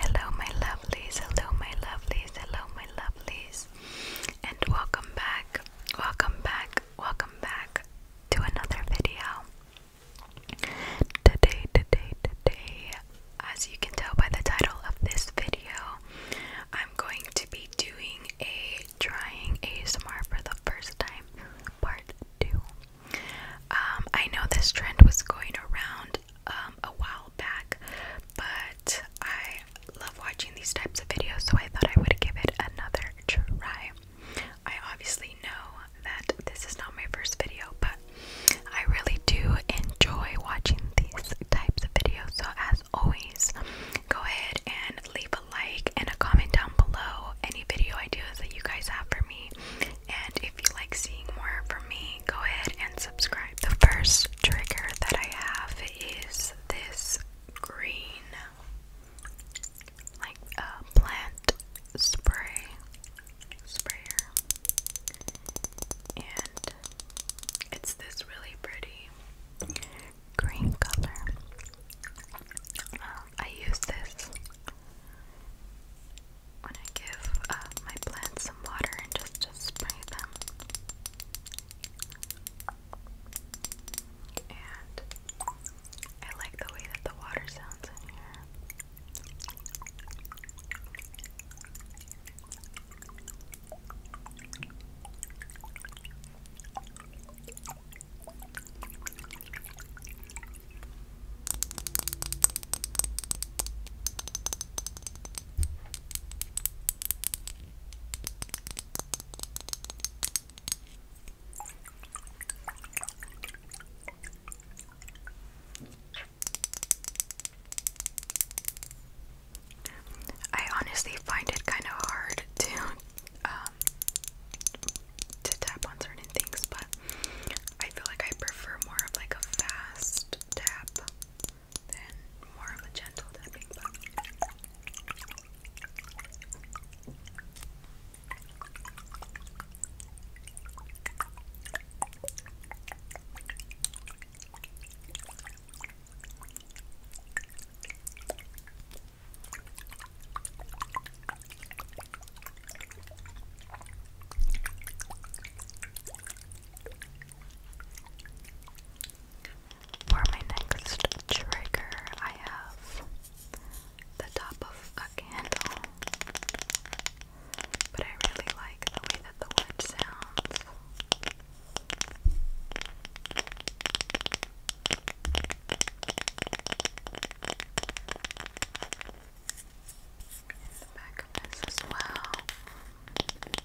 Hello, my lovelies. Hello, my lovelies. Hello, my lovelies. And welcome back, welcome back, welcome back to another video. Today, today, today, as you can tell by the title of this video, I'm going to be doing a trying a ASMR for the first time part two. Um, I know this trend was going around um, a while back, but I love watching these types of videos, so I thought I would give it another try. I obviously know that this is not my first video, but I really do enjoy watching these types of videos. So, as always, go ahead and leave a like and a comment down below any video ideas that you guys have for me. And if you like seeing more from me, go ahead and subscribe. The first trigger that I have is this green, like a uh, plant spray sprayer, and it's this really pretty green color. Uh, I use this when I give uh, my plants some water and just, just spray them. And I like the way that the water sounds in here. I honestly find it kind of hard to um, to tap on certain things, but I feel like I prefer more of like a fast tap than more of a gentle tapping, for my next trigger, I have the top of a candle, but I really like the way that the wood sounds the back of this as well. Okay.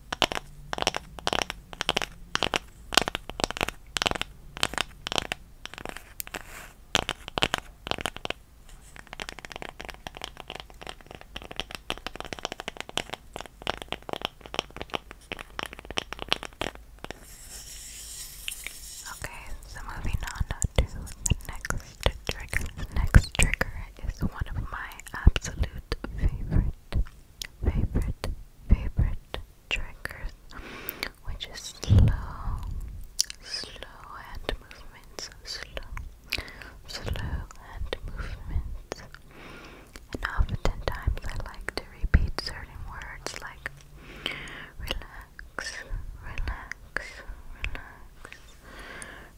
Okay, so moving on to the next trigger. The next trigger is one of my absolute favorite favorite favorite triggers, which is slow, slow hand movements, slow, slow hand movements. And oftentimes I like to repeat certain words like relax, relax, relax,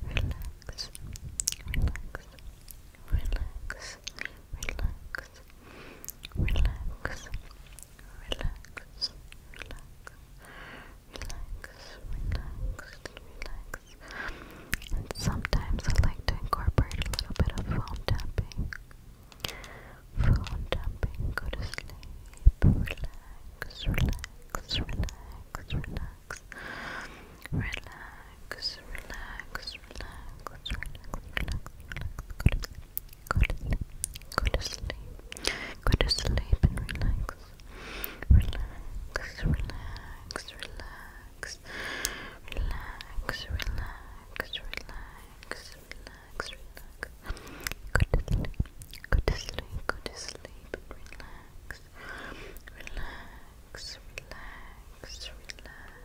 relax, relax, relax, relax, relax, relax, relax, relax, relax. And sometimes I like to incorporate a little bit of foam tapping. Phone tapping, go to sleep, relax, relax, relax, relax, relax, relax, relax, relax, relax, relax. Go to sleep. Go to sleep. Go to sleep and relax. Relax, relax, relax. Relax, relax, relax, relax, relax. Go to sleep. Go to sleep. Go to sleep and relax. Relax, relax, relax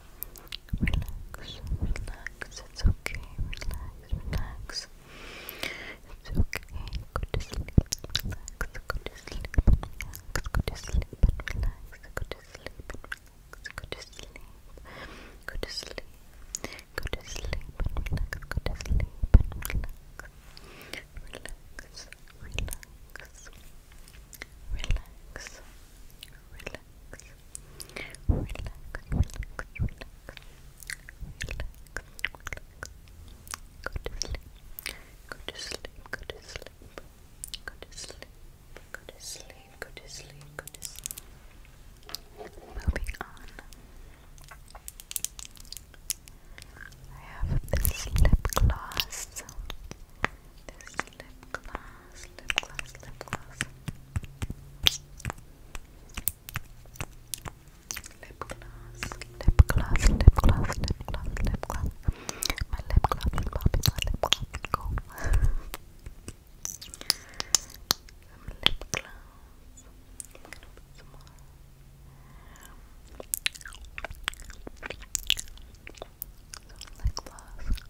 Relax, relax, it's okay, relax, relax. It's okay, go to sleep, relax, go to sleep, relax, go to sleep, relax, go to sleep, relax, go to sleep, go to sleep, go to sleep, relax, go to sleep, relax, relax, relax, relax, relax relax, relax, relax. Go to sleep. Go to sleep. Go to sleep. Go to sleep. Go to sleep. Go to sleep. Go to sleep. Moving on. I have this lip gloss. This lip gloss. gloss, lip gloss, lip gloss. Lip gloss, lip gloss, lip gloss, lip gloss, lip gloss. My lip gloss is popping, my lip gloss is cool. some lip gloss. I'm gonna put some more. Some lip gloss.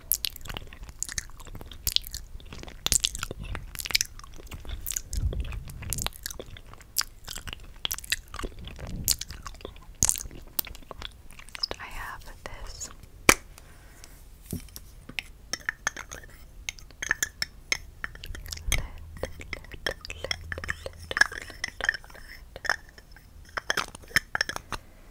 I have this lit, lit, lit, lit, lit, lit.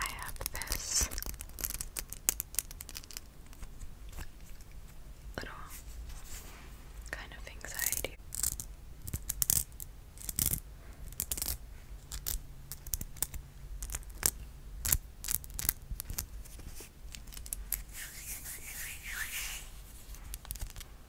I have this little kind of anxiety.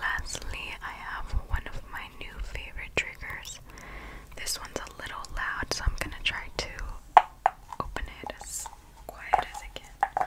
lastly, I have one of my new favorite triggers. This one's a little loud, so I'm going to try to open it as quiet as I can.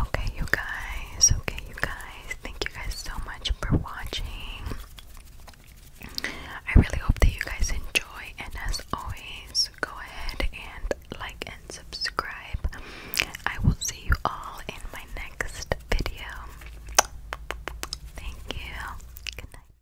Okay, you guys. Okay, you guys. Thank you guys so much for watching. I really hope that you guys enjoy, and as always, go ahead and like and subscribe. I will see you all in my next video. Thank you. Good night.